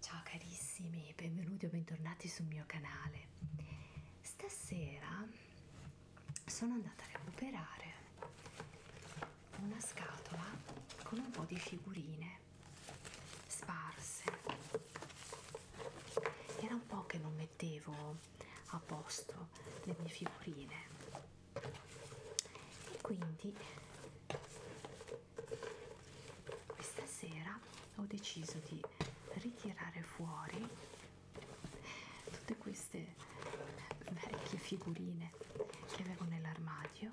Ciao carissimi, benvenuti o bentornati sul mio canale. Stasera sono andata a recuperare una scatola con un po' di figurine sparse. Era un po' che non mettevo a posto le mie figurine e quindi questa sera ho deciso di ritirare fuori tutte queste vecchie figurine che avevo nell'armadio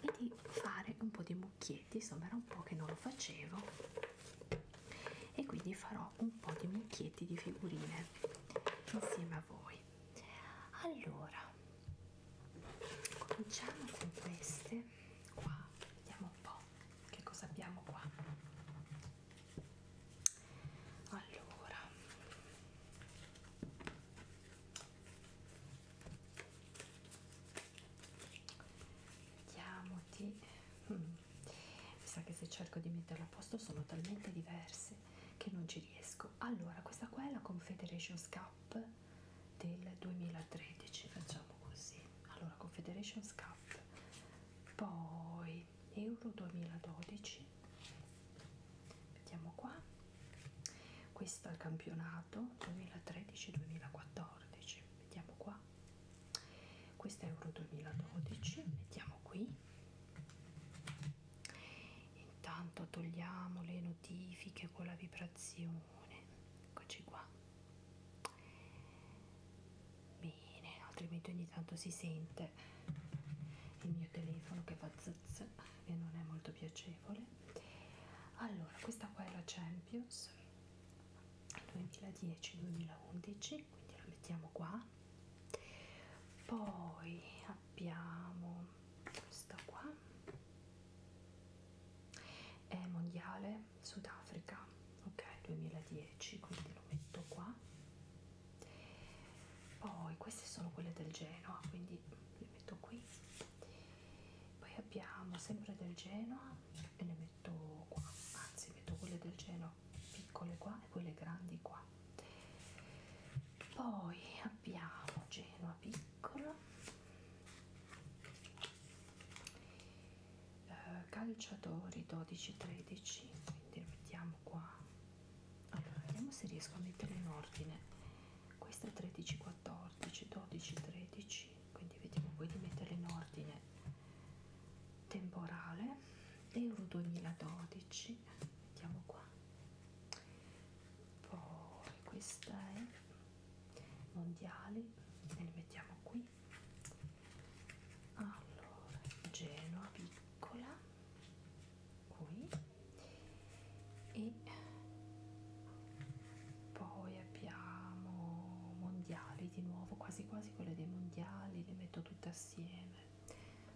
e di fare un po' di mucchietti insomma era un po' che non lo facevo e quindi farò un po' di mucchietti di figurine insieme insieme a voi allora cominciamo con queste qua vediamo un po che cosa abbiamo qua allora vediamo di mm, mi sa che se cerco di metterla a posto sono talmente diverse che non ci riesco. Allora, questa qua è la Confederations Cup del 2013, facciamo così. Allora, Confederations Cup, poi Euro 2012, vediamo qua. Questo è il campionato 2013-2014, vediamo qua. Questo è Euro 2012, mettiamo qui intanto togliamo le notifiche con la vibrazione eccoci qua bene altrimenti ogni tanto si sente il mio telefono che fa zz e non è molto piacevole allora questa qua è la Champions 2010-2011 quindi la mettiamo qua poi abbiamo questa qua è mondiale Sudafrica ok 2010 quindi lo metto qua poi queste sono quelle del Genoa quindi le metto qui poi abbiamo sempre del Genoa e le metto qua anzi metto quelle del Genoa però piccole qua e quelle grandi qua poi abbiamo Genoa piccola eh, calciatori 12-13 quindi lo mettiamo qua allora vediamo se riesco a mettere in ordine questa 13-14 12-13 quindi vediamo poi di metterle in ordine temporale euro 2012 mettiamo qua poi questa è mondiali e li mettiamo qui allora Genoa piccola qui e poi abbiamo mondiali di nuovo quasi quasi quelle dei mondiali le metto tutte assieme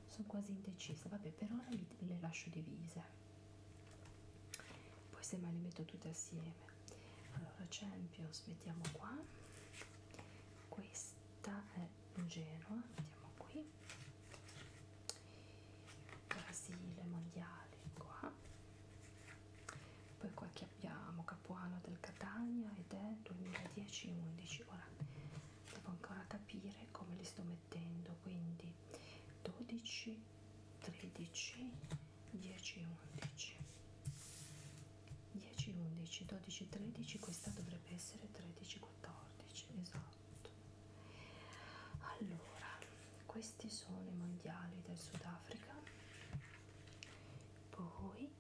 sono quasi indecisa vabbè per ora li, le lascio divise poi semmai le metto tutte assieme allora Champions mettiamo qua questa è Genoa mettiamo qui Brasile mondiale qua poi qua che abbiamo Capuano del Catania ed è 2010-11 ora devo ancora capire come li sto mettendo mettendo quindi 12 13 10 11 10 11 12 13 questa dovrebbe essere 13 14 esatto allora questi sono i mondiali del sudafrica poi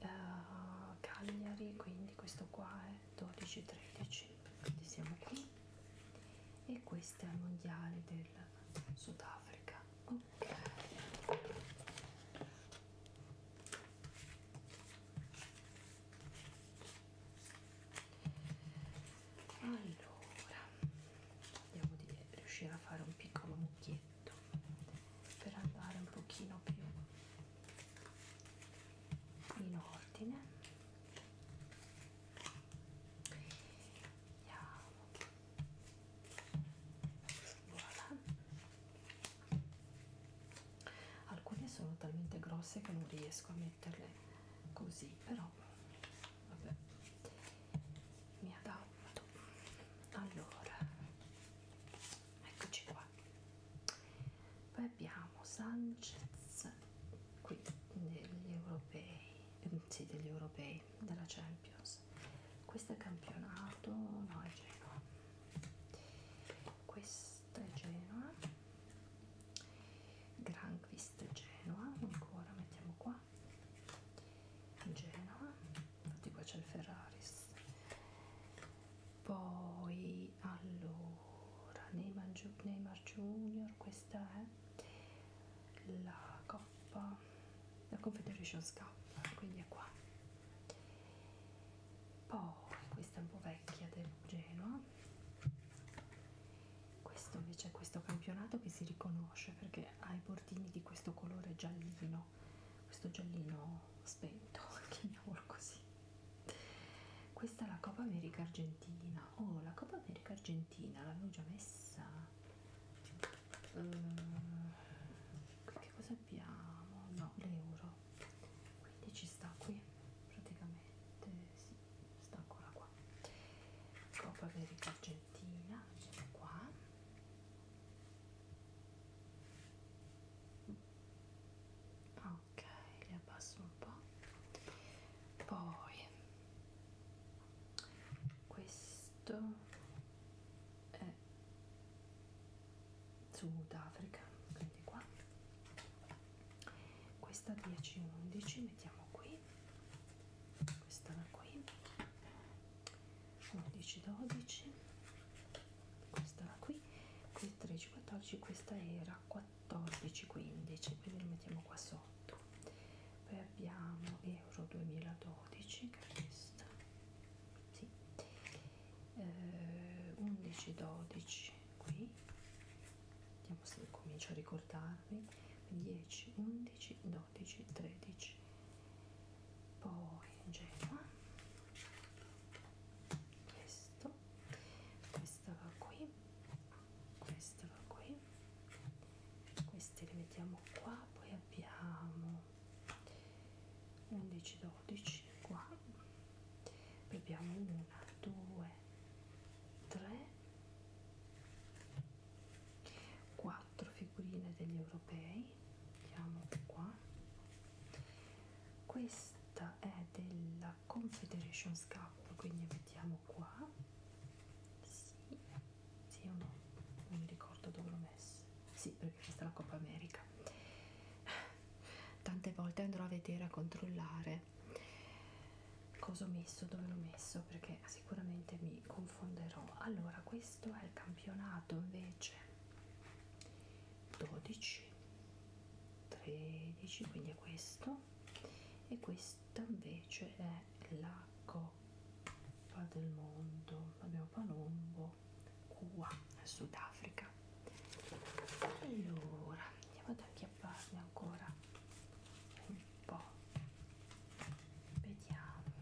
uh, cagliari quindi questo qua è 12, 13, quindi siamo qui e questo è il mondiale del Sudafrica. Ok. Allora, vediamo di riuscire a fare un piccolo mucchietto per andare un pochino più in ordine andiamo voilà alcune sono talmente grosse che non riesco a metterle così però vabbè mi adatto allora eccoci qua qua poi abbiamo Sanchez qui degli europei ehm, sì, degli europei della Champions questo è campionato no è Genoa questa è Genoa Granquist Genoa ancora mettiamo qua Genoa infatti qua c'è il Ferraris poi allora allora, Neymar, Neymar Junior, questa è la Coppa, la Confederations Cup, quindi è qua. Poi questa è un po' vecchia del Genoa. Questo invece è questo campionato che si riconosce perché ha i bordini di questo colore giallino, questo giallino spento, chiamiamolo così questa è la Coppa America Argentina. Oh, la Coppa America Argentina l'avevo già messa. Uh, che cosa abbiamo? No, l'euro. Quindi ci sta qui, praticamente. Sì, sta ancora qua. Coppa America Argentina, qua. Ah, ok li abbasso un po' poi questo è Sudafrica quindi qua questa 10-11 mettiamo qui questa da qui 11-12 questa qui qui 13 14 questa era 14 15 quindi lo mettiamo qua sotto poi abbiamo euro 2012 che è questa sì. eh, 11 12 qui vediamo se comincio a ricordarmi 10 11 12 13 poi Genoa questo questa va qui questa va qui queste le mettiamo qua poi abbiamo 11 12 qua poi abbiamo 1 2 3 4 figurine degli europei mettiamo qua questa è della Confederations Cup quindi vediamo qua sì, sì o no non mi ricordo dove l'ho messo sì perché questa è la Coppa America tante volte andrò a vedere a controllare cosa ho messo dove l'ho messo perché sicuramente mi confonderò allora questo è il campionato invece 12 13 quindi è questo e questa invece è la coppa del mondo abbiamo palombo cuba sudafrica allora andiamo ad acchiapparne ancora un po vediamo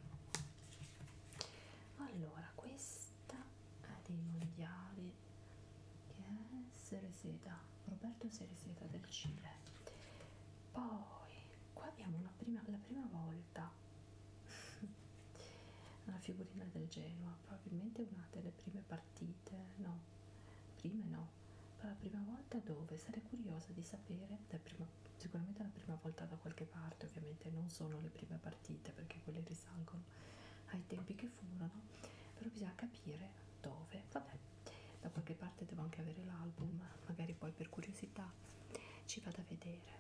allora questa è dei mondiali che è Cereceda, Roberto Cereceda del Cile. Poi qua abbiamo una prima, la prima volta una figurina del Genoa, probabilmente una delle prime partite, no, prime no, la prima volta dove sarei curiosa di sapere, prima, sicuramente la prima volta da qualche parte, ovviamente non sono le prime partite perché quelle risalgono ai ah, tempi che furono, però bisogna capire dove, vabbè, da qualche parte devo anche avere l'album, magari poi per curiosità ci vado a vedere.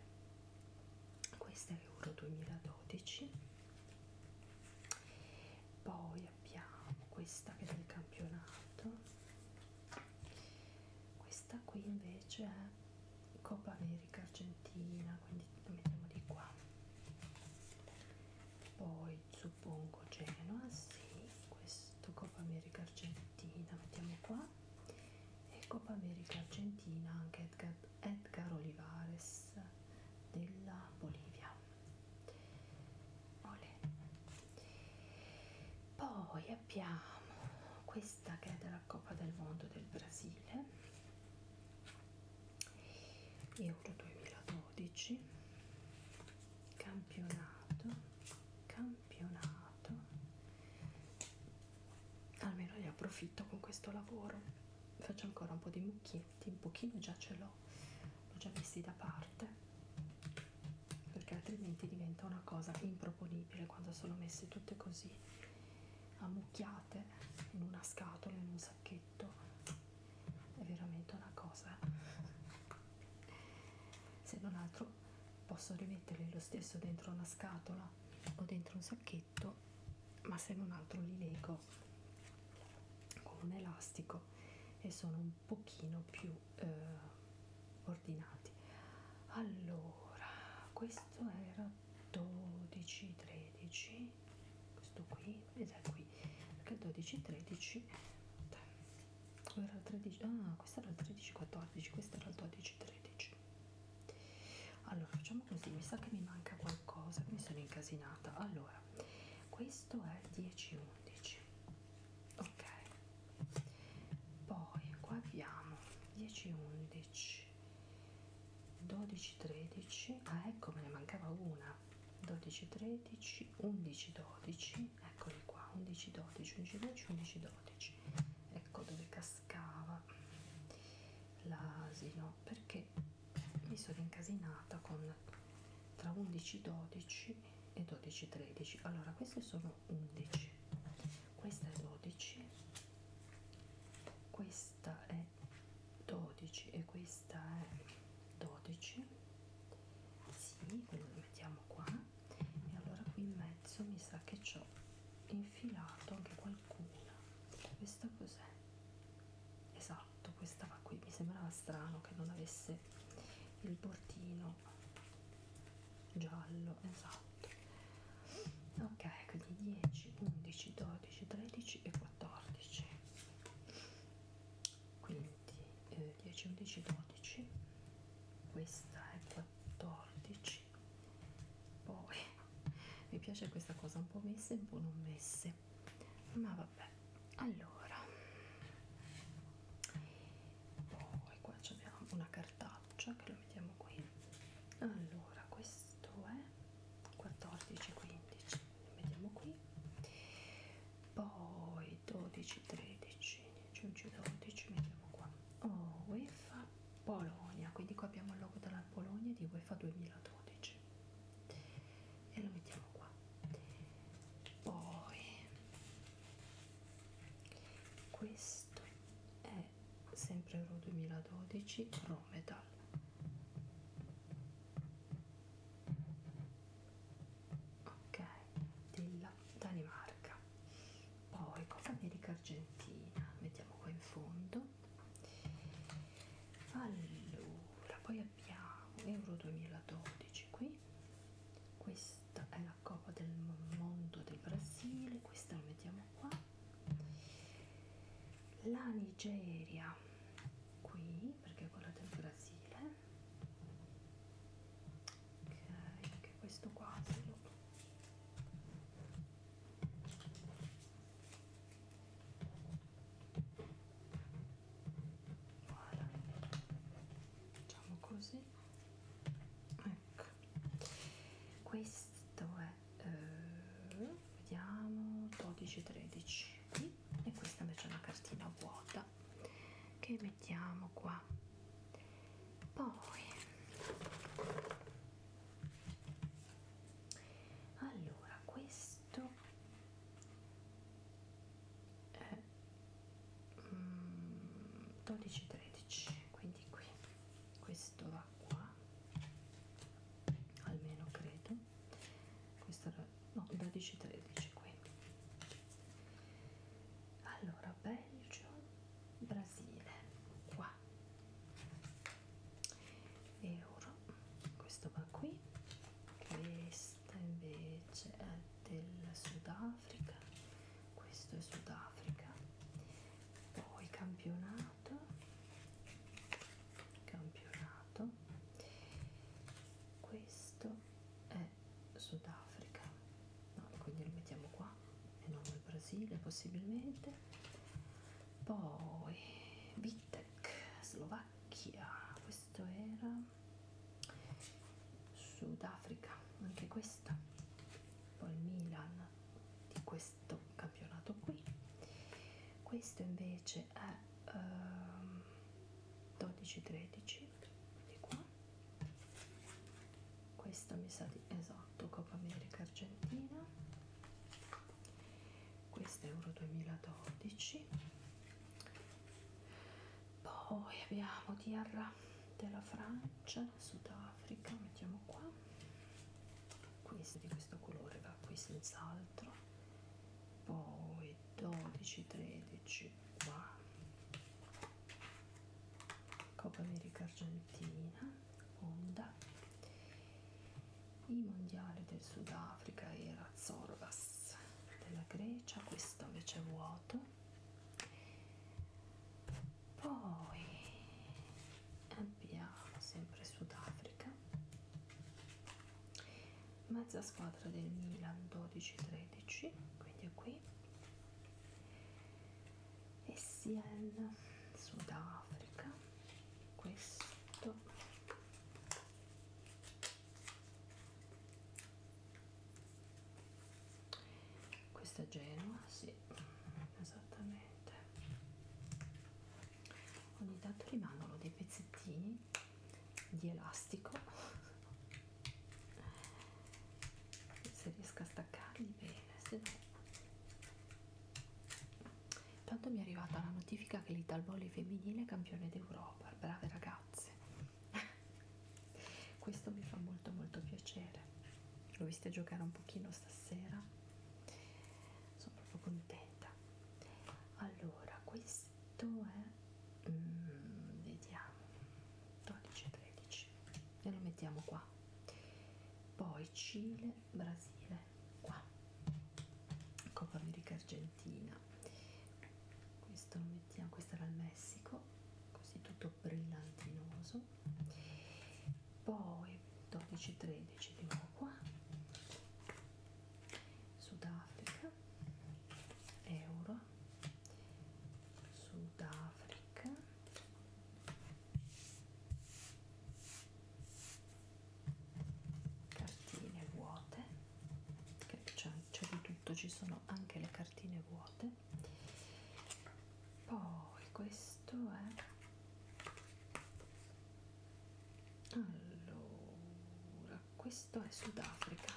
Questa è Euro 2012, poi abbiamo questa che è del campionato, questa qui invece è Coppa America Argentina, quindi la mettiamo di qua poi suppongo Genoa, sì, questo Coppa America Argentina, mettiamo qua, e Coppa America Argentina anche Edgar, Edgar Olivares della Bolivia. Olè. Poi abbiamo questa che è della Coppa del Mondo del Brasile Euro 2012 campionato campionato almeno ne approfitto con questo lavoro faccio ancora un po' di mucchietti un pochino già ce l'ho l'ho già messi da parte perché altrimenti diventa una cosa improponibile quando sono messe tutte così ammucchiate in una scatola e non sacchetto è veramente una cosa se non altro posso rimetterli lo stesso dentro una scatola o dentro un sacchetto ma se non altro li lego con un elastico e sono un pochino più eh, ordinati allora questo era 12 13 questo qui ed è qui perché il 12 13 o era il 13 ah questo era il 13 14 questo era il 12 13 allora facciamo così mi sa che mi manca qualcosa mi sono incasinata allora questo è il 10 11 ok poi qua abbiamo 10 11 12 13 ah ecco me ne mancava una 12 13 11 12 eccoli qua 11 12 11 12 11 12 ecco dove cascava l'asino perché mi sono incasinata con tra 11 12 e 12 13 allora queste sono 11 questa è 12 questa è 12 e questa questa è 12 sì, quindi la mettiamo qua e allora qui in mezzo mi sa che ci ho infilato anche qualcuna questa cos'è? esatto, questa va qui mi sembrava strano che non avesse il bordino giallo, esatto ok, quindi 10, 11, 12, 13 e 14 quindi eh, 10 11 12 questa è 14 poi mi piace questa cosa un po' messe un po' non messe ma vabbè allora poi qua abbiamo una cartaccia che lo mettiamo qui allora questo è 14 15 vediamo qui poi 12 13 11 12 mettiamo qua oh, UEFA Polonia quindi qua abbiamo il logo della Polonia di UEFA 2012 e lo mettiamo qua poi questo è sempre Euro 2012 Rometal ok della Danimarca poi Copa America Argentina mettiamo qua in fondo allora poi abbiamo Euro 2012 qui questa è la Coppa del Mondo del Brasile questa la mettiamo qua la Nigeria qui perché è quella del Brasile ok anche questo qua se lo voilà. facciamo così ecco questo è eh, vediamo 12 13 qui e questa invece è una cartina vuota che mettiamo qua poi allora questo è 12 mm, 13 quindi qui questo va qua almeno credo questo era no 12 13 qui allora Belgio Brasile qua euro questo va qui questa invece è del Sudafrica questo è Sudafrica poi campionato campionato questo è Sudafrica, no, quindi lo mettiamo qua e non il Brasile possibilmente, poi Vitek, Slovacchia, questo era Sudafrica, anche questa, poi Milan di questo campionato qui, questo invece è... Uh, 12 13 di qua questa mi sa di esatto Copa America Argentina questa è Euro 2012 poi abbiamo Tierra della Francia Sudafrica mettiamo qua questa di questo colore va qui senz'altro poi 12 13 qua Coppa America Argentina Honda i mondiali del Sudafrica era Zorgas della Grecia questo invece è vuoto poi abbiamo sempre Sudafrica mezza squadra del Milan 12-13 quindi è qui e Sien Sudafrica questo questa è Genova sì esattamente ogni tanto rimangono dei pezzettini di elastico se riesco a staccarli bene se no Tanto mi è arrivata la notifica che l'Italvoli femminile è campione d'Europa, brave ragazze. Questo mi fa molto molto piacere. L'ho vista giocare un pochino stasera. Sono proprio contenta. Allora, questa questo è mm, vediamo 12 13 e lo mettiamo qua poi Cile Brasile qua Coppa America Argentina questo lo mettiamo questo era il Messico così tutto brillantinoso poi 12 13 di nuovo qua Sudafrica Euro Sudafrica cartine vuote che c'è di tutto ci sono anche le cartine vuote poi questo è allora questo è Sudafrica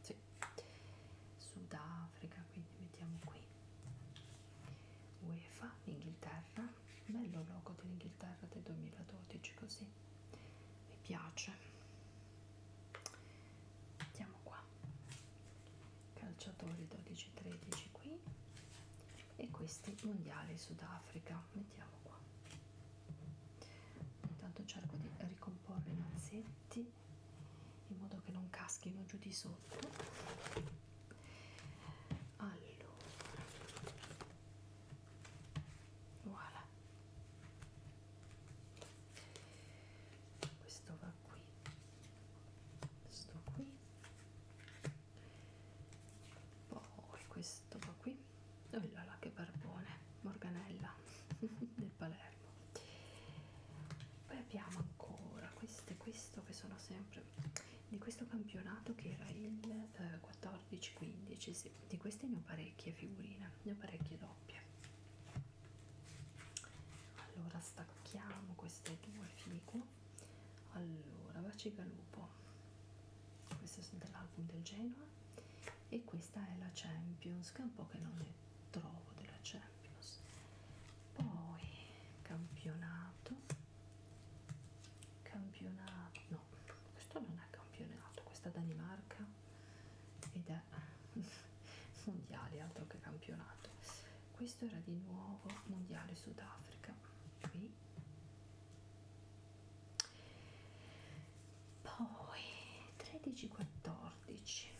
sì, sì. Sudafrica, quindi mettiamo qui UEFA, Inghilterra, bello logo dell'Inghilterra del 2012 così, mi piace. Mettiamo qua, calciatori 12-13 qui e questi mondiali Sudafrica, mettiamo qua intanto cerco di ricomporre i mazzetti in modo che non caschino giù di sotto allora voilà questo va qui questo qui poi questo va qui oh là là che barbone morganella del Palermo poi abbiamo ancora queste questo che sono sempre di questo campionato che era il eh, 14-15 sì. di queste ne ho parecchie figurine ne ho parecchie doppie allora stacchiamo queste due figo allora Vacigalupo queste sono dell'album del Genoa e questa è la Champions che è un po' che non ne trovo della Champions poi campionato campionato no questo non è campionato questa Danimarca ed è mondiale altro che campionato questo era di nuovo mondiale Sudafrica qui poi 13 14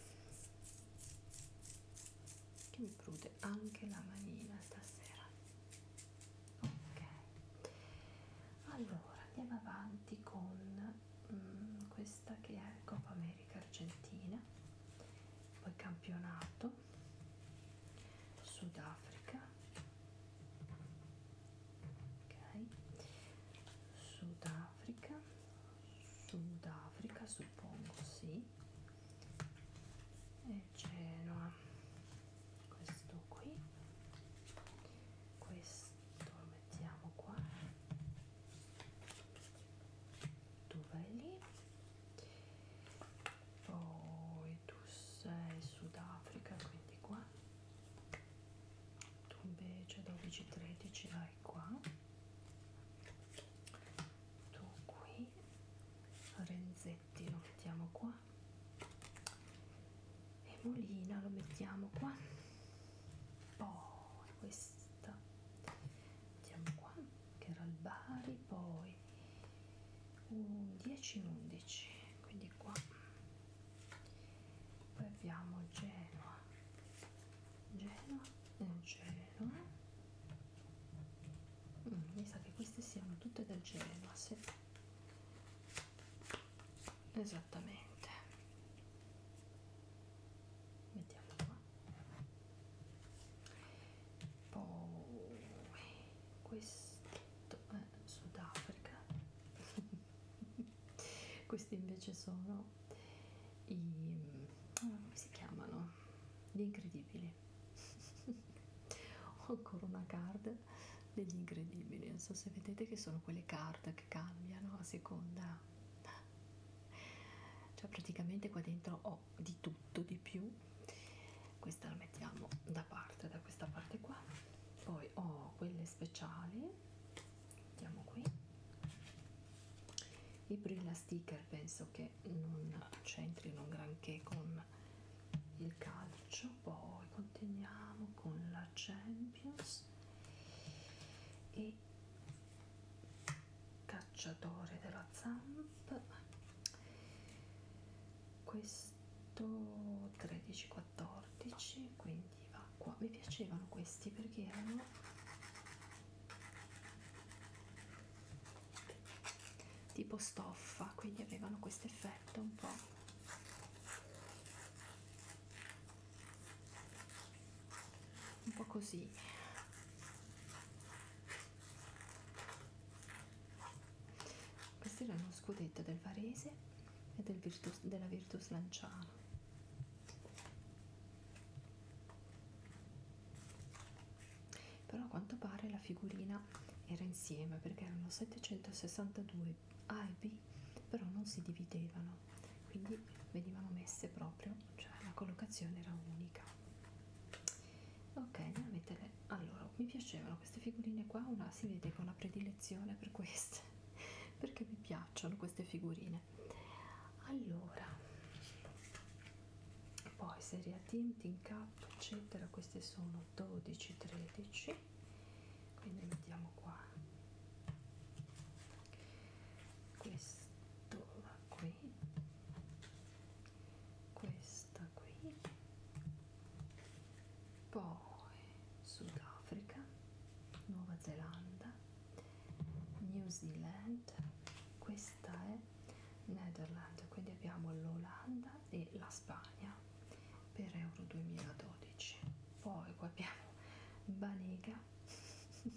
che mi prude anche la manina stasera ok allora andiamo avanti con mm, questa che è Coppa America Argentina poi campionato Sudafrica ok Sudafrica Africa, Sudafrica suppongo, sì, e Genoa, questo qui, questo lo mettiamo qua, tu vai lì, poi tu sei Sudafrica, quindi qua, tu invece 12-13 vai vai qua tu qui Renzetti lo mettiamo qua e Molina lo mettiamo qua poi questa mettiamo qua che era il Bari poi un 10 11 quindi qua poi abbiamo Genoa Genoa e Genoa mm, mi sa che queste siano tutte del Genoa sì. esattamente mettiamo qua poi questo è Sudafrica questi invece sono i oh, come si chiamano? Gli incredibili. Ho ancora una card degli incredibili, non so se vedete che sono quelle card che cambiano a seconda. Cioè praticamente qua dentro ho di tutto, di più. Questa la mettiamo da parte, da questa parte qua. Poi ho quelle speciali mettiamo qui i brilla sticker penso che non c'entrino granché con il calcio poi continuiamo con la champions e cacciatore della zamp questo 13 14 quindi acqua mi piacevano questi perché erano tipo stoffa quindi avevano questo effetto un po' un po' così questi erano scudetto del Varese e del Virtus, della Virtus Lanciano però a quanto pare la figurina era insieme perché erano 762 A e B però non si dividevano quindi venivano messe proprio cioè la collocazione era unica ok andiamo a mettere allora mi piacevano queste figurine qua una si vede che ho una predilezione per queste perché mi piacciono queste figurine allora poi serie a tinting cap eccetera queste sono 12 13 quindi mettiamo qua questo qui questa qui poi Sudafrica Nuova Zelanda New Zealand, questa è Netherlands, quindi abbiamo l'Olanda e la Spagna per Euro 2012. Poi qua abbiamo Banega,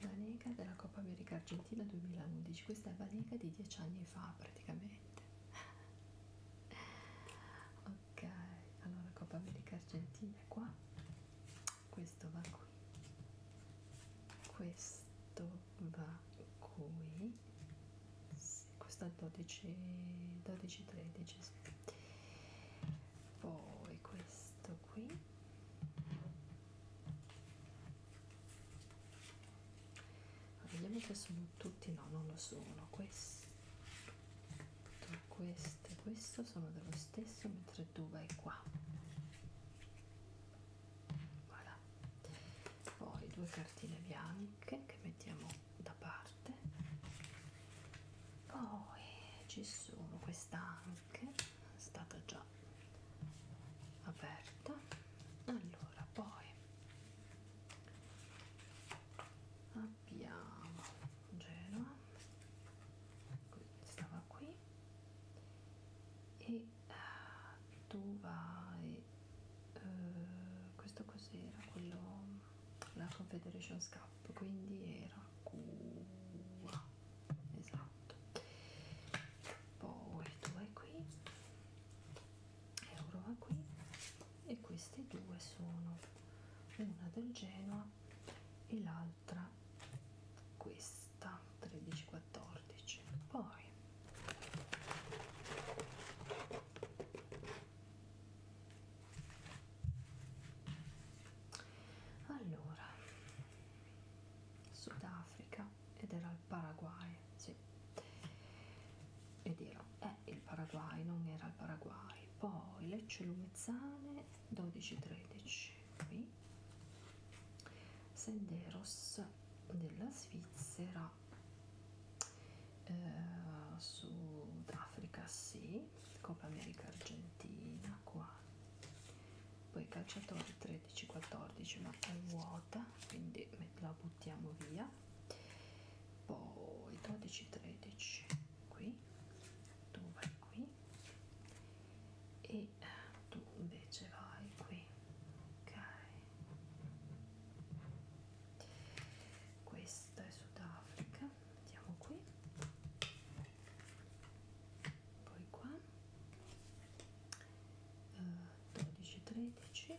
Banega della Coppa America Argentina 2011, questa è Banega di 10 anni fa praticamente. ok allora Coppa America Argentina è qua questo va qui questo va qui sì, questo è 12 12 13 sì. poi questo qui vediamo se sono tutti no non lo sono questo queste e questo sono dello stesso mentre tu vai qua voilà. poi due cartine bianche che mettiamo da parte poi ci sono questa anche è stata già aperta allora poi abbiamo Genova stava qui e eh, tu vai eh, questo cos'era quello la Confederations Cup quindi era Cuba esatto poi tu vai qui Euro va qui e queste due sono una del Genoa e l'altra un'altra questa 13 14 poi allora Sudafrica ed era il Paraguay sì ed era eh, il Paraguay non era il Paraguay poi Lecce Lumezzane 12 13 qui senderos della svizzera eh, sudafrica sì coppa america argentina qua poi calciatori 13 14 ma è vuota quindi la buttiamo via poi 12 13 qui tu vai qui e eh, tu invece vai qui ok questa è Sudafrica andiamo qui poi qua uh, eh, 12-13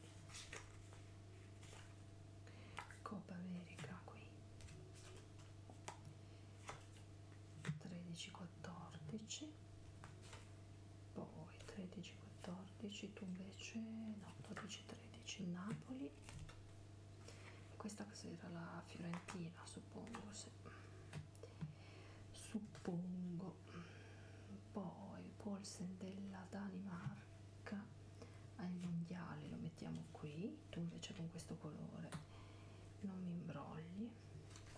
Copa America qui 13 14 poi 13 14 tu invece no 12 13 Napoli questa cos'era la Fiorentina suppongo se suppongo poi Polsen della Danimarca ai mondiali lo mettiamo qui tu invece con questo colore non mi imbrogli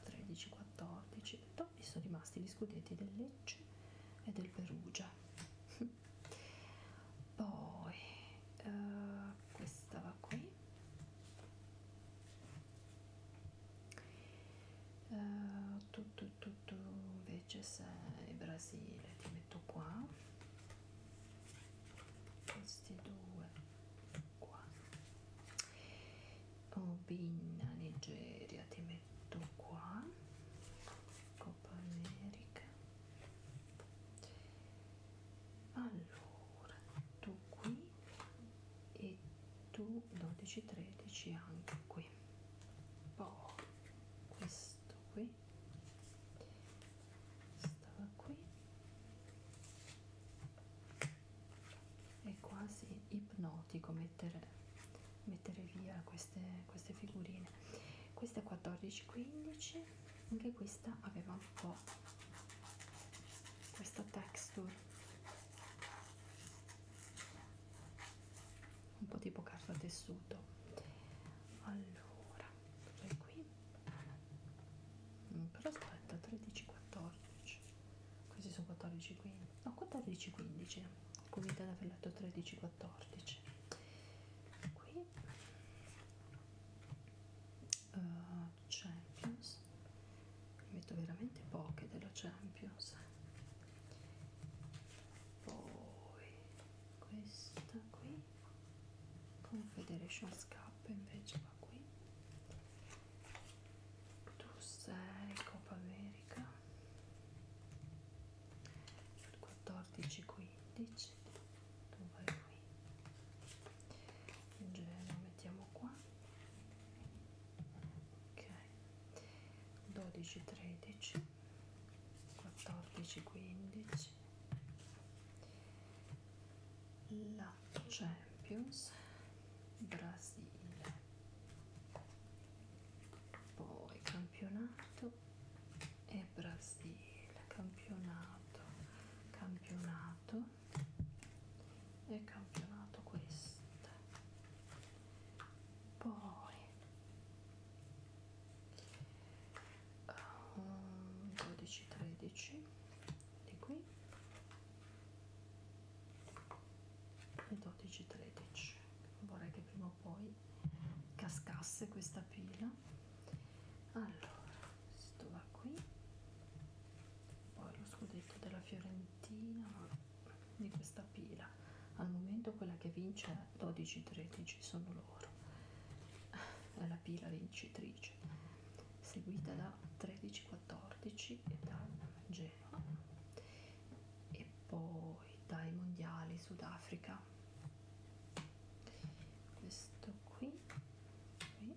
13 14 dopo sono rimasti gli scudetti del Lecce e del Perugia poi uh, questa va qui uh, eh, tutto tutto invece se il Brasile ti metto qua questi due qua Obinna Nigeria ti metto qua Coppa America allora tu qui e tu 12 13 anche qui poi questo qui stava qui è quasi ipnotico mettere, mettere via queste, queste figurine questa è 14-15 anche questa aveva un po' questa texture un po' tipo carta tessuto allora qui Mm, però aspetta 13 14 questi sono 14 15 no 14 15 scusate ad aver letto 13 14 qui uh, champions ne metto veramente poche della champions poi questa qui Confederation Cup invece ma qui tu sei eh, Copa America 14 15 tu vai qui il gelo lo mettiamo qua ok 12 13 14 15 la Champions Brasile poi campionato e Brasile campionato campionato e campionato questa poi um, 12 13 di qui le 12 13 vorrei che prima o poi cascasse questa pila allora questo va qui poi lo scudetto della fiorentina di questa pila al momento quella che vince 12 13 sono loro è la pila vincitrice seguita da 13 2014 e dal Genoa e poi dai mondiali Sudafrica questo qui, qui.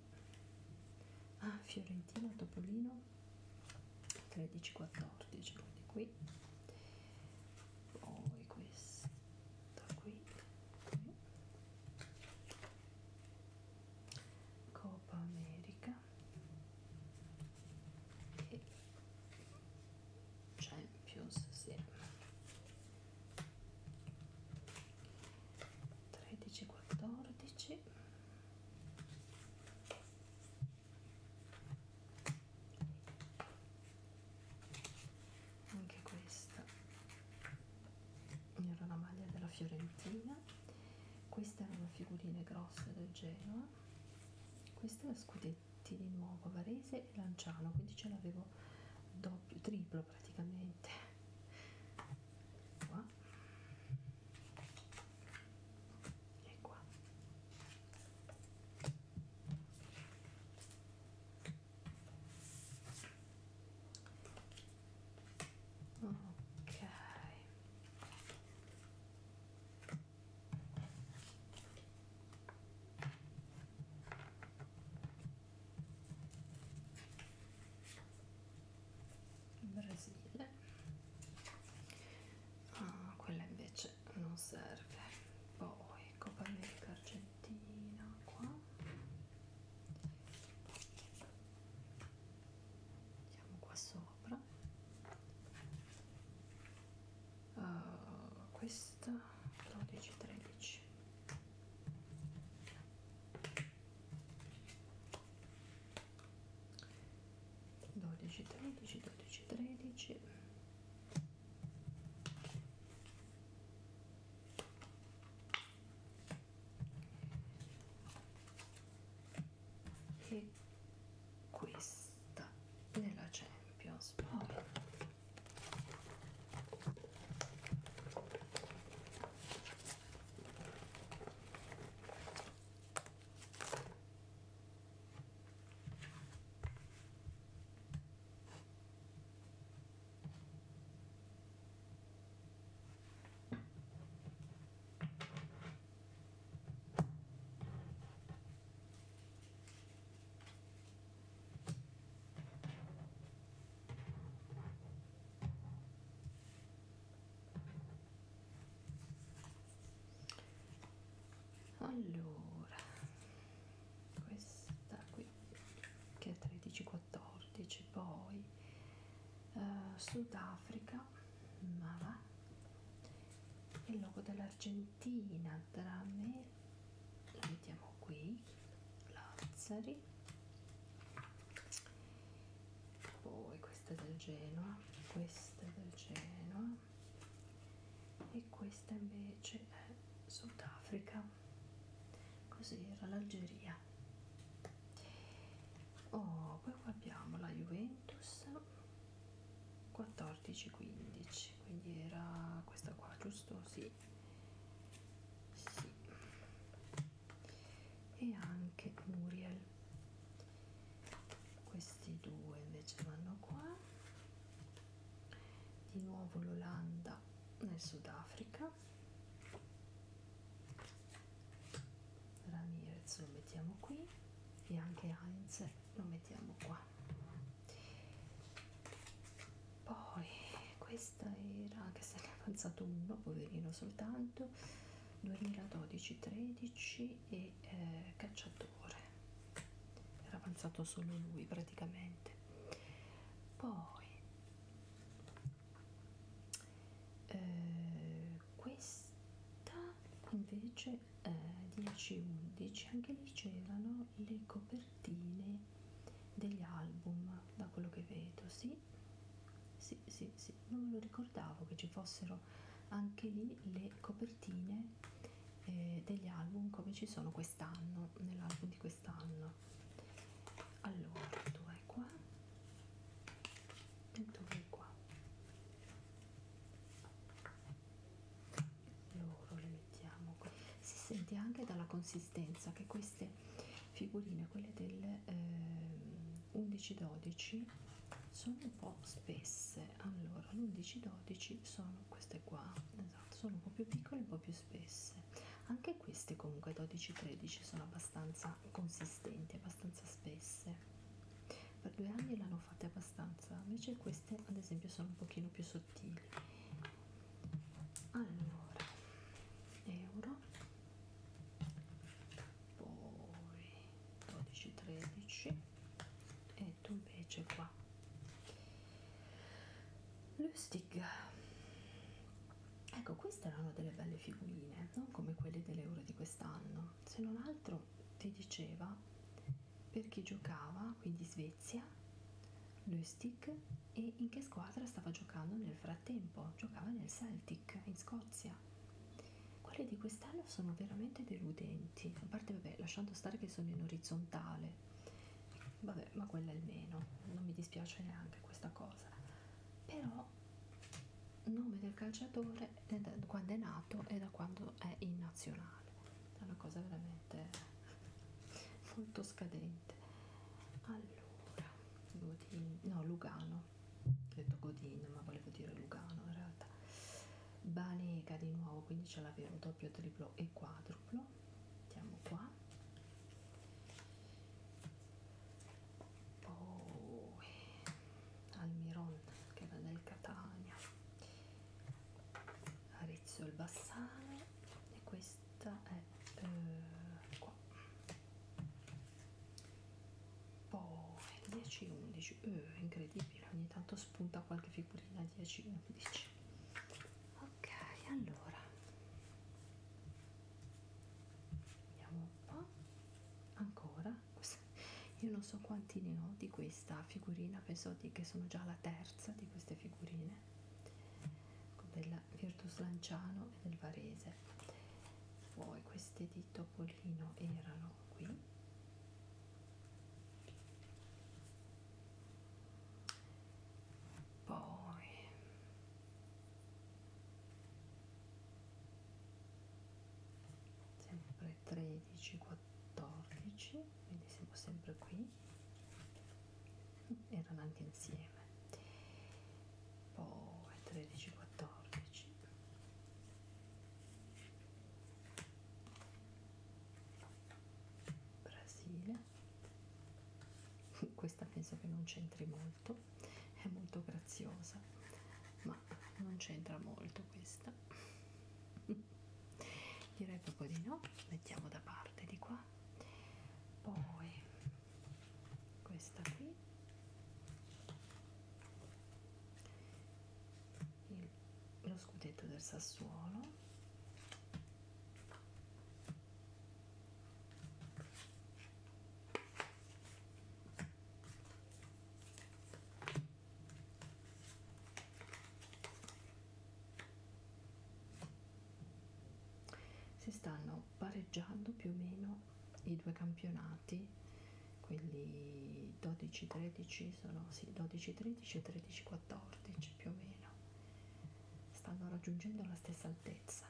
Ah, Fiorentina Topolino 13-14 quindi qui poi questa qui, qui Copa America e Champions sì. 13 14 anche questa era una maglia della Fiorentina queste erano figurine grosse del Genoa questi erano scudetti di nuovo Varese e Lanciano quindi ce l'avevo doppio triplo praticamente qua e qua ok Brasile ah, quella invece non serve poi Copa America Argentina qua andiamo qua sopra uh, questa 12 13 12 13 12 13 e e questa nella Champions poi allora questa qui che è 13-14 poi eh, Sudafrica Mara, Mara, il logo dell'Argentina, Drame, lo vediamo qui, Lazzari, poi questa è del Genoa, questa è del Genoa e questa invece è Sudafrica, così era l'Algeria oh, poi qua abbiamo la Juventus 14-15 quindi era questa qua giusto? Sì. sì e anche Muriel questi due invece vanno qua di nuovo l'Olanda nel Sudafrica Ramirez lo mettiamo qui e anche Heinz lo mettiamo qua poi questa era che se ne è avanzato uno poverino soltanto 2012-13 e eh, cacciatore era avanzato solo lui praticamente poi eh, questa invece eh, 10-11 anche lì c'erano le copertine degli album da quello che vedo sì sì sì sì non me lo ricordavo che ci fossero anche lì le copertine eh, degli album come ci sono quest'anno nell'album di quest'anno allora due qua e due qua loro le mettiamo qui si sente anche dalla consistenza che queste figurine quelle del eh, 11-12 sono un po' spesse allora l'11-12 sono queste qua esatto sono un po' più piccole un po' più spesse anche queste comunque 12-13 sono abbastanza consistenti abbastanza spesse base per due anni l'hanno fatta abbastanza invece queste ad esempio sono un pochino più sottili allora euro poi 12 13 e tu invece qua Lustig ecco queste erano delle belle figurine non come quelle dell'euro di quest'anno se non altro ti diceva per chi giocava, quindi Svezia, Lustig e in che squadra stava giocando nel frattempo, giocava nel Celtic in Scozia. Quelle di quest'anno sono veramente deludenti, a parte vabbè, lasciando stare che sono in orizzontale, vabbè, ma quella è il meno, non mi dispiace neanche questa cosa. Però no nome del calciatore da quando è nato e da quando è in nazionale è una cosa veramente molto scadente allora Godin, no Lugano ho detto Godin ma volevo dire Lugano in realtà Banega di nuovo quindi c'è l'avvero doppio triplo e quadruplo andiamo qua poi Almiron che va del Catania Rizzo il Bassano e questa è eh, qua poi 10-11 eh, incredibile ogni tanto spunta qualche figurina 10-11 ok allora vediamo un po' ancora io non so quanti ne ho di questa figurina penso che sono già la terza di queste figurine del Virtus Lanciano e del Varese poi queste di Topolino erano qui poi sempre 13 14 quindi siamo sempre qui erano anche insieme poi 13 14 Brasile questa penso che non c'entri molto è molto graziosa ma non c'entra molto questa direi proprio di no mettiamo da parte di qua poi questa qui Il, lo scudetto del Sassuolo si stanno pareggiando più o meno i due campionati quelli 12-13 sono sì 12-13 e 13-14 più o meno stanno raggiungendo la stessa altezza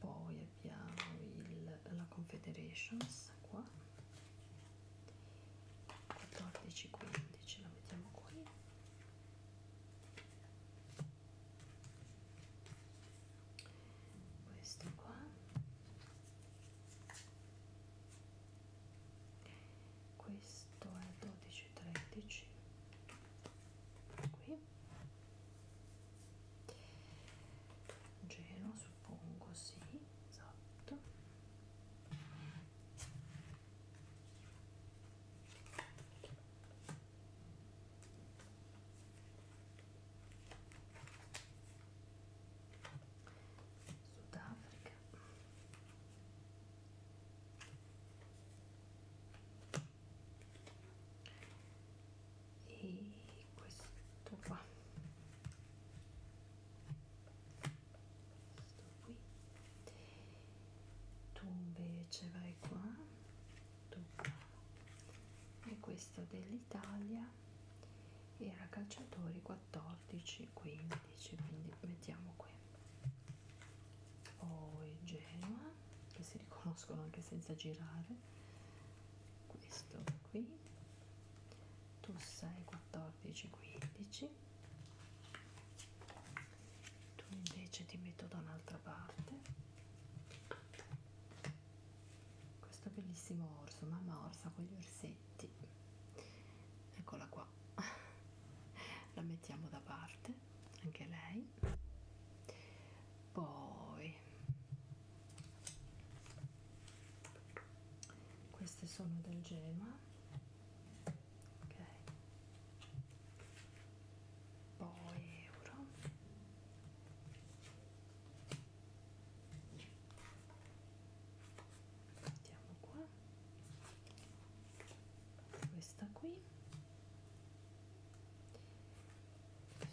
poi abbiamo il, la Confederations qua 14 15 la mettiamo qui questo qua questo è 12 13 qui Genoa suppongo, sì, esatto. Sudafrica e questo qua questo qui tu invece vai qua tu qua e questo dell'Italia era calciatori 14 15 quindi mettiamo qui poi Genoa che si riconoscono anche senza girare questo qui tu sai 14 15 tu invece ti metto da un'altra parte questo bellissimo orso mamma orsa con gli orsetti eccola qua la mettiamo da parte anche lei poi queste sono del Genoa ok poi euro mettiamo qua questa qui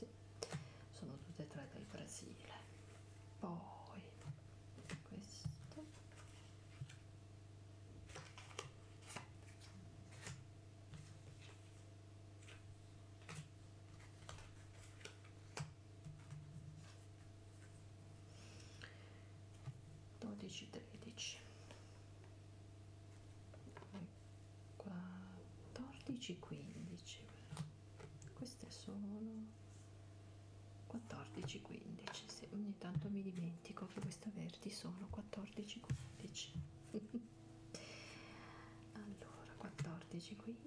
Sì, sono tutte e tre del Brasile. Poi questo. 12 13 14 15 però. queste sono 14 15 sì, ogni tanto mi dimentico che queste verdi sono 14 15 allora 14 15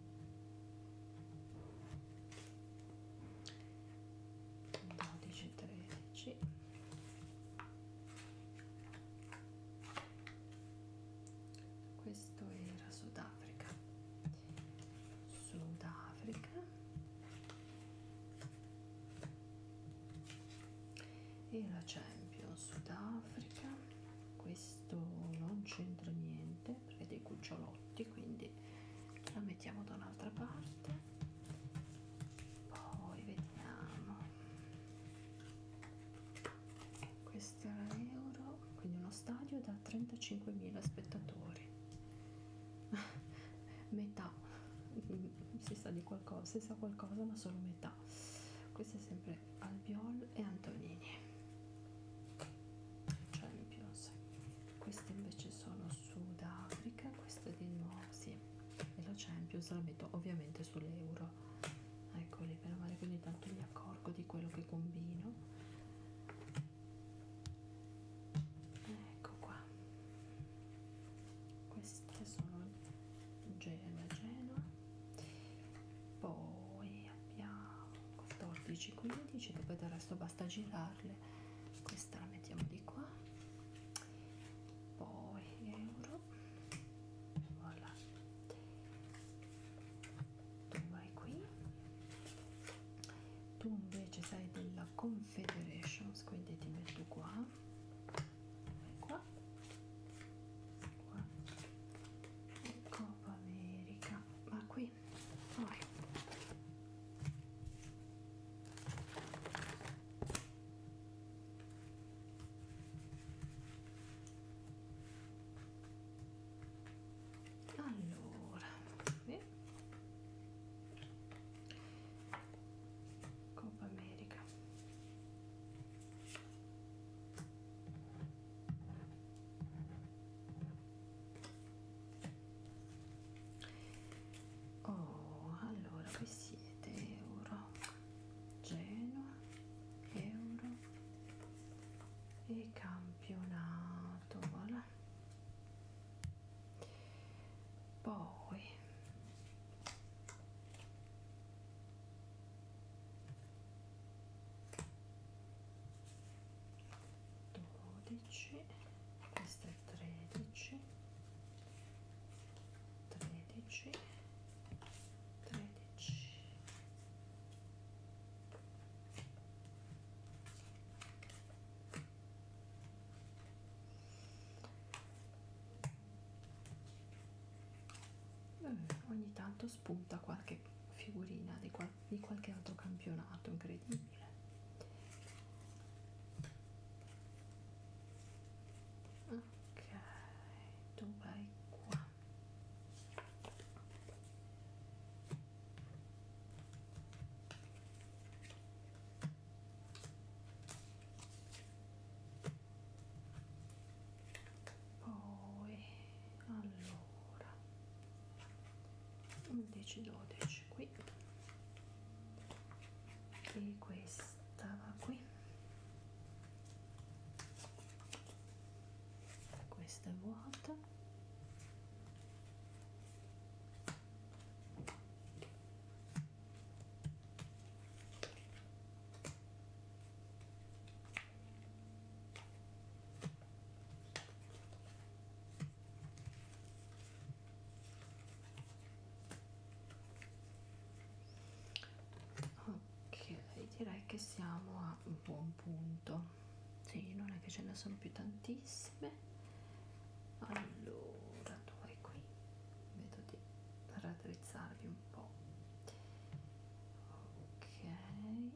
12 13 questo era Sudafrica Sudafrica e la Champions Sudafrica questo non c'entra niente parte perché dei cucciolotti quindi la mettiamo da un'altra parte poi vediamo questo era euro quindi uno stadio da 35.000 spettatori metà mm, si sa di qualcosa si sa qualcosa ma solo metà questo è sempre sempre Albiol e Antonini Champions cioè, queste invece sono Sudafrica queste di nuovo sì e la Champions la metto ovviamente sull'euro eccoli per male quindi tanto mi accorgo di quello che combino ecco qua queste sono Genova Genova poi abbiamo 14 15 poi del resto basta girarle questa la mettiamo di qua poi euro voilà tu vai qui tu invece sei della confederations quindi ti metto qua vai qua qua ecco, Coppa America ma qui fuori. Allora, qui. Coppa America. Oh, allora voi siete euro, Genoa, euro e campionato, voilà. Poi 12 questa è 13 13 13 Ogni tanto spunta qualche figurina di qualche di qualche altro campionato incredibile ok tu vai qua poi allora 11 12 qui e questa va qui questa è vuota ok direi che siamo a un buon punto sì non è che ce ne sono più tantissime allora due qui vedo di raddrizzarvi un po ok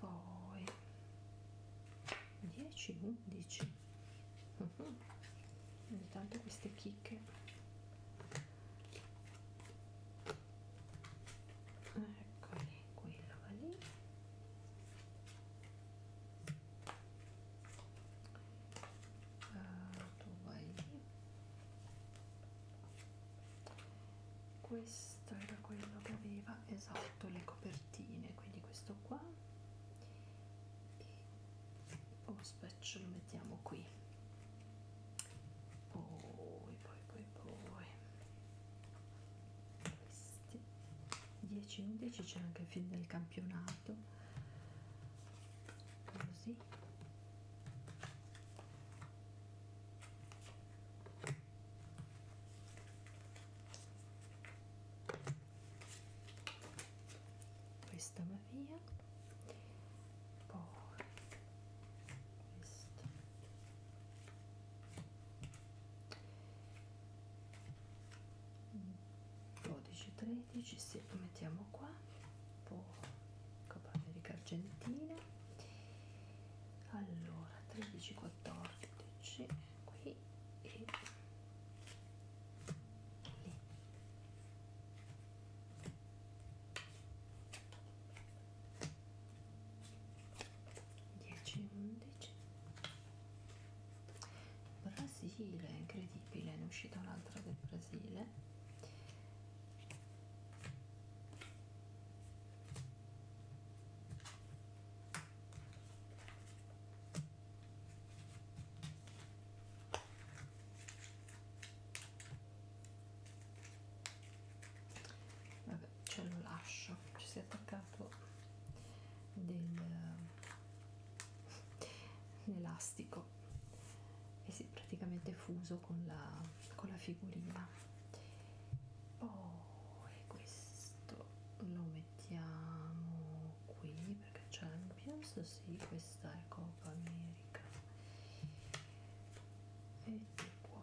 ok poi 10 11 uh -huh. ogni tanto queste chicche eccoli quella va lì uh, tu vai lì questo era quello che aveva esatto le copertine quindi questo qua e lo specchio lo mettiamo qui poi poi poi poi questi 10-11 c'è anche il film del campionato così questa va via poi questo 12 13 sì, lo mettiamo qua poi Copa America Argentina allora 13 14 qui e lì dieci undici Brasile, incredibile, ne è uscita un'altra del Brasile. Vabbè, ce lo lascio, ci si è attaccato del un elastico e si è praticamente fuso con la, con la figurina poi oh, questo lo mettiamo qui perché Champions sì questa è Copa America e di qua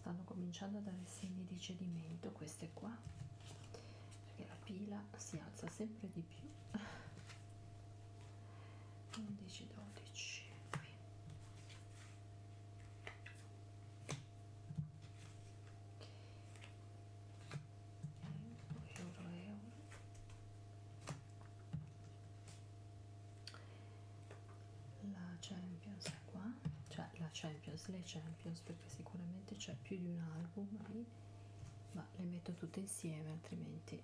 stanno cominciando a dare segni di cedimento queste qua perché la pila si alza sempre di più 11 12 qui euro euro la Champions è qua cioè la Champions le Champions perché sicuramente c'è più di un album lì ma le metto tutte insieme altrimenti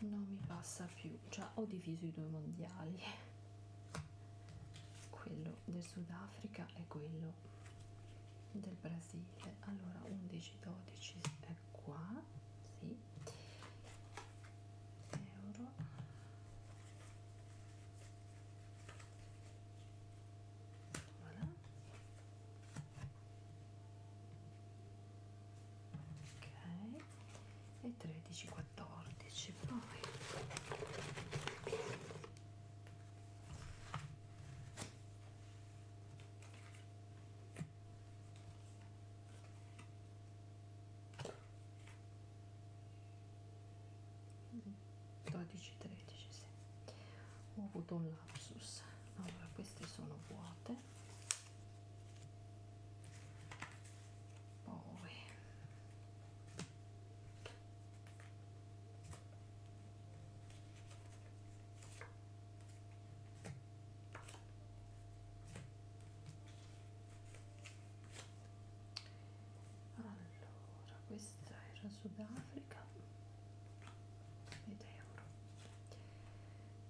non mi passa più già cioè, ho diviso i due mondiali quello del Sudafrica e quello del Brasile niente allora 11 12 è qua sì. euro voilà. ok e 13 14 poi 12 13 sì. ho avuto un lapsus allora queste sono vuote poi allora questa era Sudafrica ed euro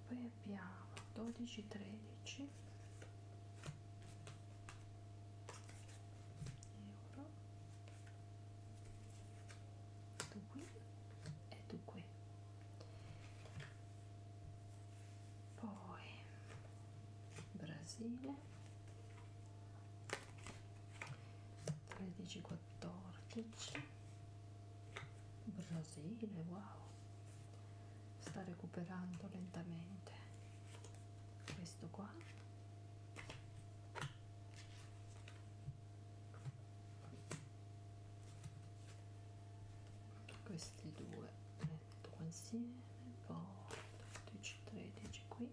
poi abbiamo 12 13 euro tu qui e tu qui poi Brasile 13 14 Brasile wow sta recuperando lentamente questo qua questi due li metto qua insieme poi 12 13 qui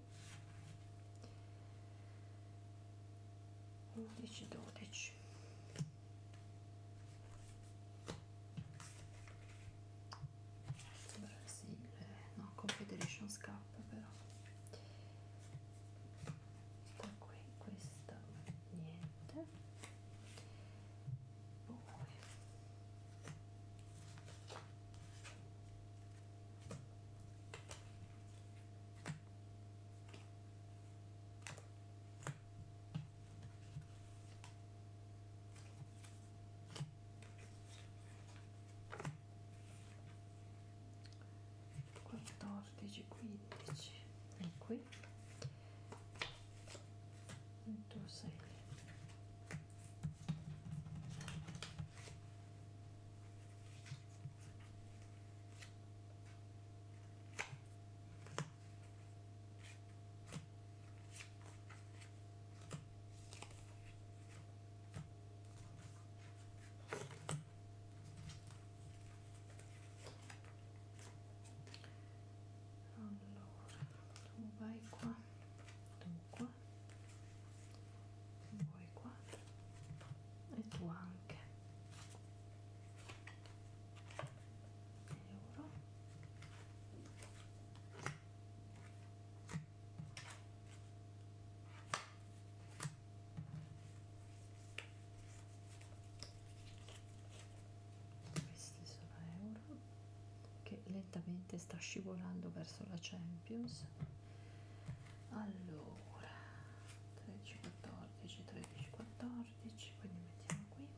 11 12 Brasile no Confederation Cup però da ecco qui questo niente poi 14 15 e qui metto 6 Ecco allora tu vai qua tu qua voi qua e tu anche euro questi sono euro che lentamente sta scivolando verso la Champions allora 13 14 13 14 quindi mettiamo qui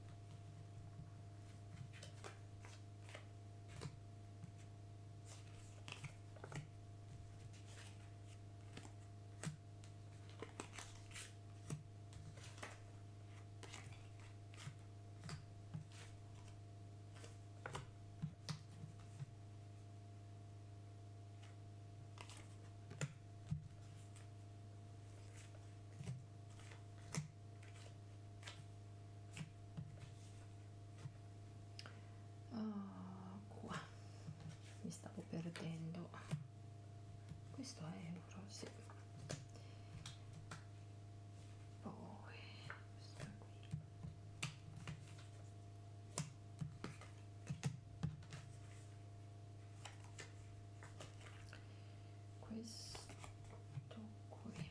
Oh, qua mi stavo perdendo questo è euro sì. poi questo qui questo qui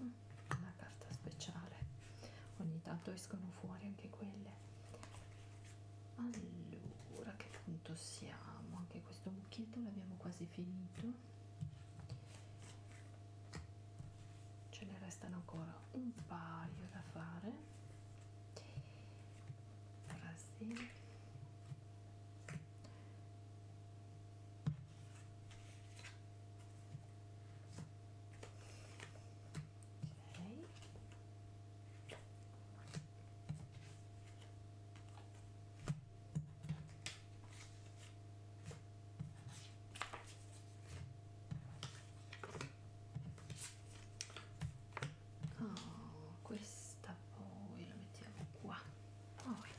una carta speciale ogni tanto escono fuori anche quelle allora che punto siamo anche questo buchetto l'abbiamo quasi finito ce ne restano ancora un paio da fare ora sì Oh, questa poi la mettiamo qua. Poi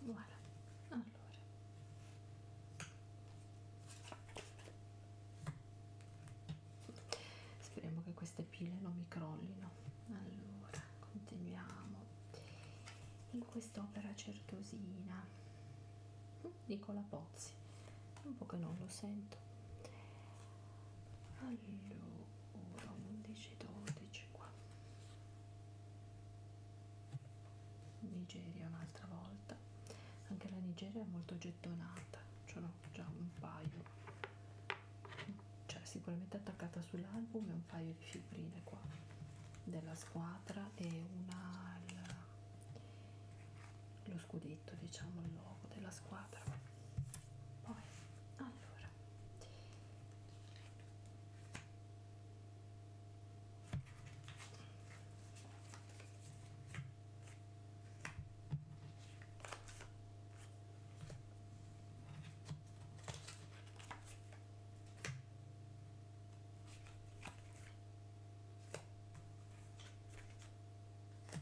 voilà allora speriamo che queste pile non mi crollino allora continuiamo in quest'opera certosina Nicola Pozzi un po' che non lo sento allora 11 12 qua Nigeria un'altra volta anche la Nigeria è molto gettonata ce l'ho già un paio cioè sicuramente attaccata sull'album e un paio di figurine qua della squadra e una al, lo scudetto diciamo il logo della squadra poi allora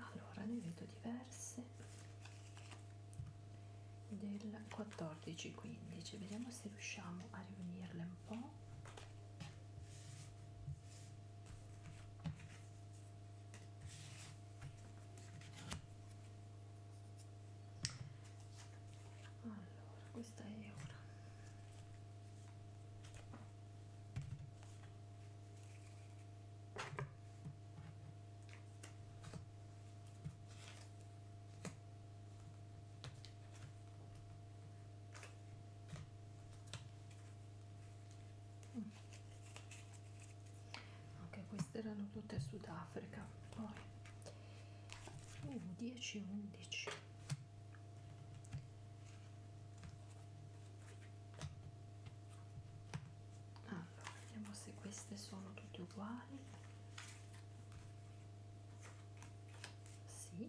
allora ne vedo diverse del 14 15 vediamo se riusciamo a riunirle un po allora questa è ora Mm. ok queste erano tutte sudafrica poi uh, 10 11 allora vediamo se queste sono tutte uguali sì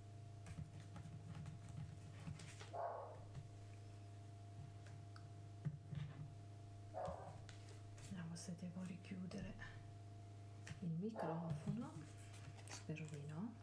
vediamo se devo richiudere il microfono spero di no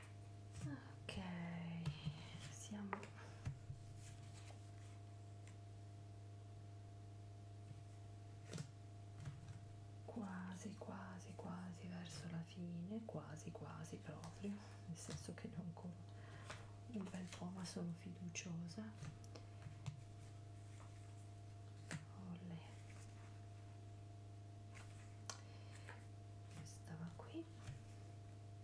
ok siamo quasi quasi quasi verso la fine quasi quasi proprio nel senso che non con un bel po' ma sono fiduciosa Olè. questa va qui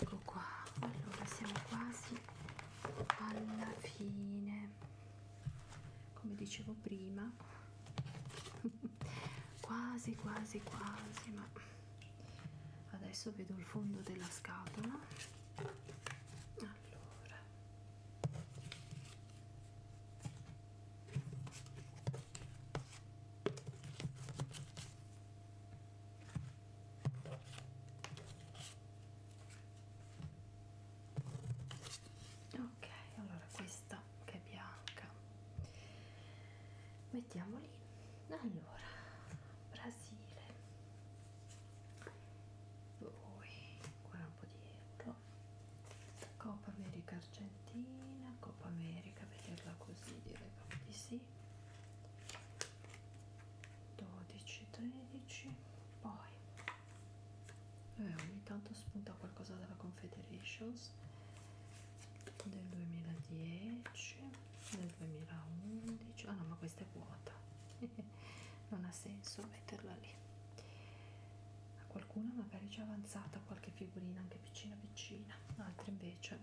Ecco qua, allora siamo quasi alla fine. Come dicevo prima quasi quasi quasi ma adesso vedo il fondo della scatola allora ok allora questa che è bianca mettiamo lì allora Brasile poi ancora un po' di euro Coppa America Argentina Coppa America vederla così direi proprio di sì 12 13 poi eh, ogni tanto spunta qualcosa dalla Confederations del 2010 del 2011 ah oh no ma questa è vuota non ha senso metterla lì a qualcuno magari c'è avanzata qualche figurina anche piccina piccina altre invece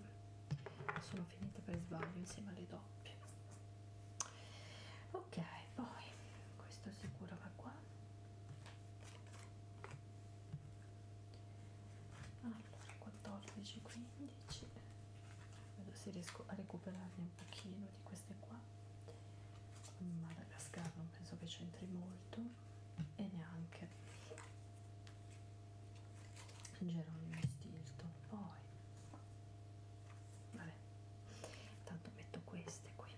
sono finite per sbaglio insieme alle doppie ok poi questo sicuro va qua allora 14 15 vedo se riesco a recuperarne un pochino di queste qua Madagascar non penso che c'entri molto e neanche Geronimo Stilton poi vabbè tanto metto queste qui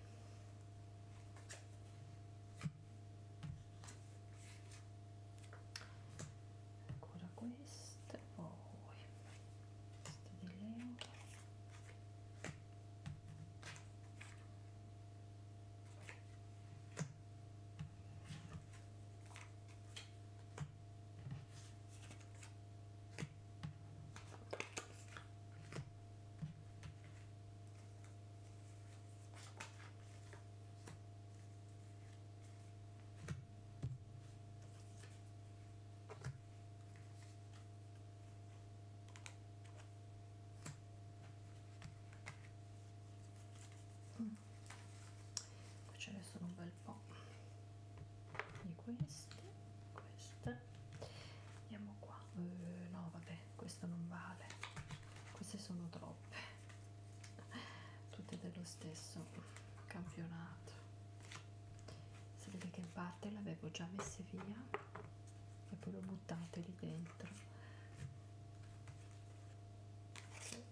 ancora queste poi queste di Leo Mm. Qui ce ne sono un bel po' di queste, queste. Andiamo qua. Uh, no, vabbè, questo non vale. Queste sono troppe tutte dello stesso campionato si vede che in parte l'avevo già messa via e poi l'ho buttate lì dentro sì.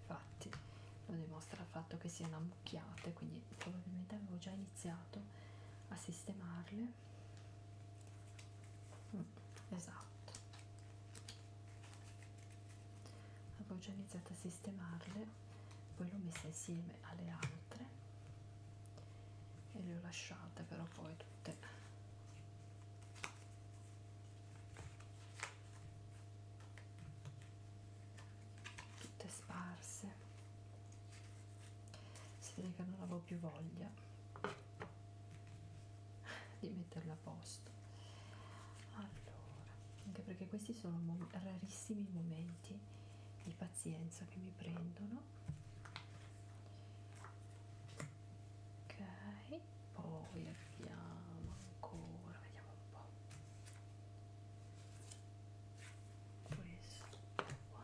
infatti lo dimostra il fatto che sia una ammucchiate quindi probabilmente avevo già iniziato a sistemarle mm, esatto avevo già iniziato a sistemarle poi l'ho messa insieme alle altre e le ho lasciate però poi tutte tutte sparse si vede che non avevo più voglia di metterla a posto allora anche perché questi sono mom rarissimi momenti di pazienza che mi prendono ok poi abbiamo ancora vediamo un po' questo qua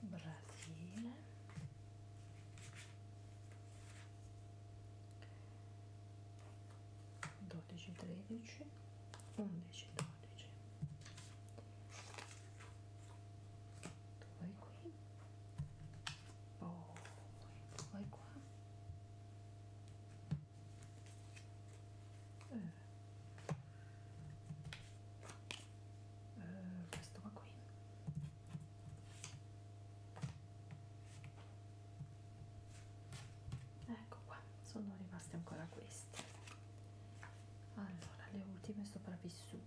Brasile dodici tredici undici dodici due qui poi vai qua eh. Eh, questo va qui ecco qua sono rimaste ancora queste allora le ultime sopravvissute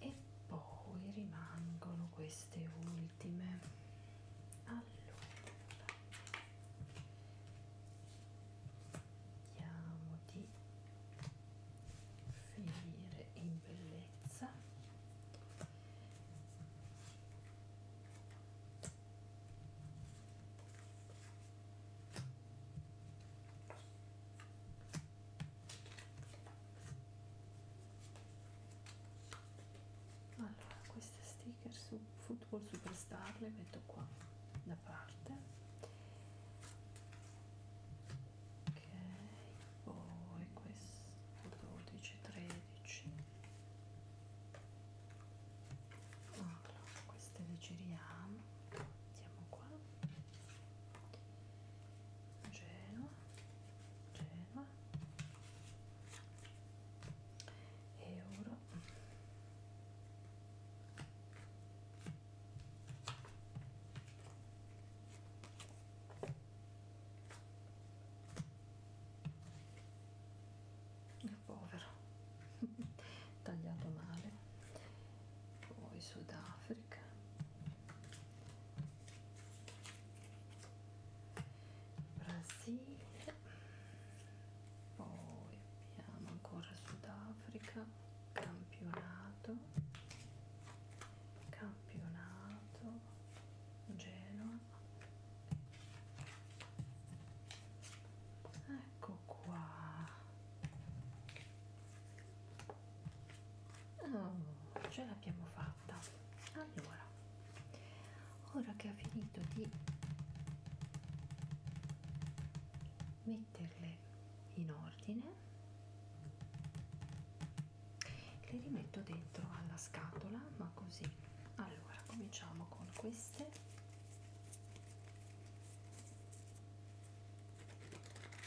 e poi rimangono queste ultime allora vediamo di finire in bellezza allora queste sticker su football superstar le metto qua da parte ok poi questo 12 13 allora queste le giriamo mettiamo qua Genova, Genova, euro. È povero tagliato male poi Sudafrica Brasile poi abbiamo ancora Sudafrica campionato campionato Genoa ecco qua oh, ce l'abbiamo fatta allora ora che ha finito di metterle in ordine le rimetto dentro alla scatola ma così allora cominciamo con queste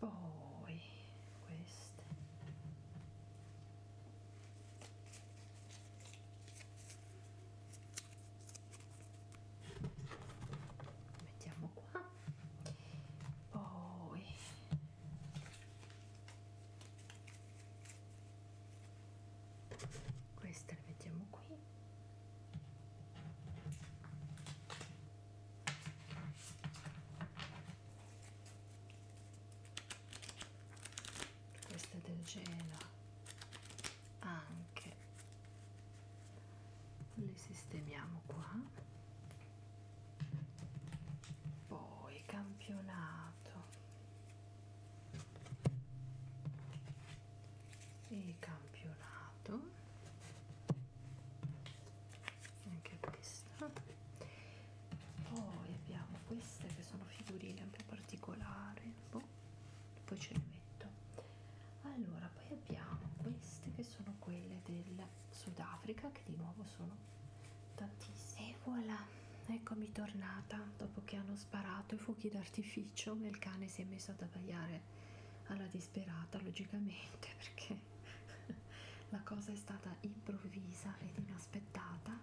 poi queste mettiamo qua poi queste le mettiamo qui questa è del Genoa anche le sistemiamo qua poi campionato e campionato anche questa poi abbiamo queste che sono figurine un po' particolari boh, poi ce le metto allora poi abbiamo queste che sono quelle del Sudafrica che di nuovo sono tantissime e voilà eccomi tornata dopo che hanno sparato i fuochi d'artificio il cane si è messo ad abbaiare alla disperata logicamente perché la cosa è stata improvvisa ed inaspettata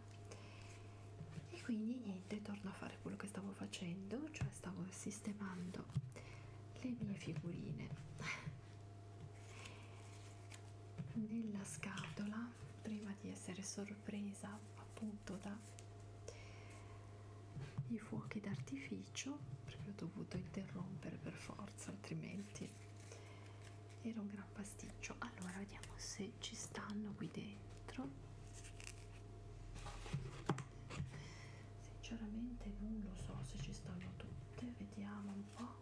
e quindi niente torno a fare quello che stavo facendo cioè stavo sistemando le mie figurine nella scatola prima di essere sorpresa appunto da i fuochi d'artificio perché ho dovuto interrompere per forza altrimenti era un gran pasticcio allora vediamo se ci stanno qui dentro sinceramente non lo so se ci stanno tutte vediamo un po'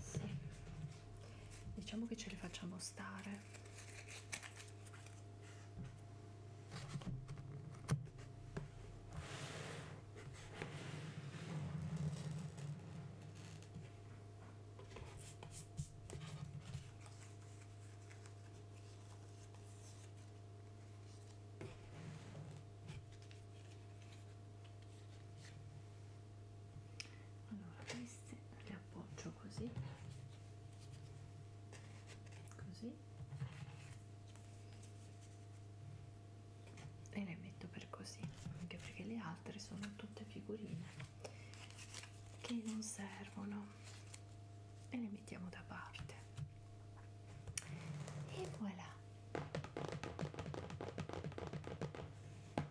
sì diciamo che ce li facciamo stare allora queste le appoggio così così e le metto per così anche perché le altre sono tutte figurine che non servono e le mettiamo da parte e voilà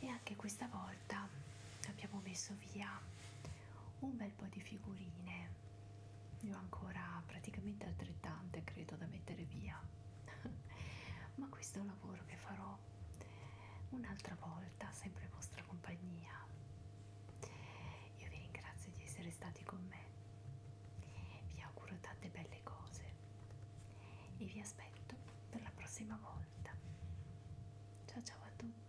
e anche questa volta abbiamo messo via un bel po' di figurine ne ho ancora praticamente altrettante credo da mettere via ma questo è un lavoro che farò un'altra volta sempre in vostra compagnia io vi ringrazio di essere stati con me, vi auguro tante belle cose e vi aspetto per la prossima volta. Ciao ciao a tutti!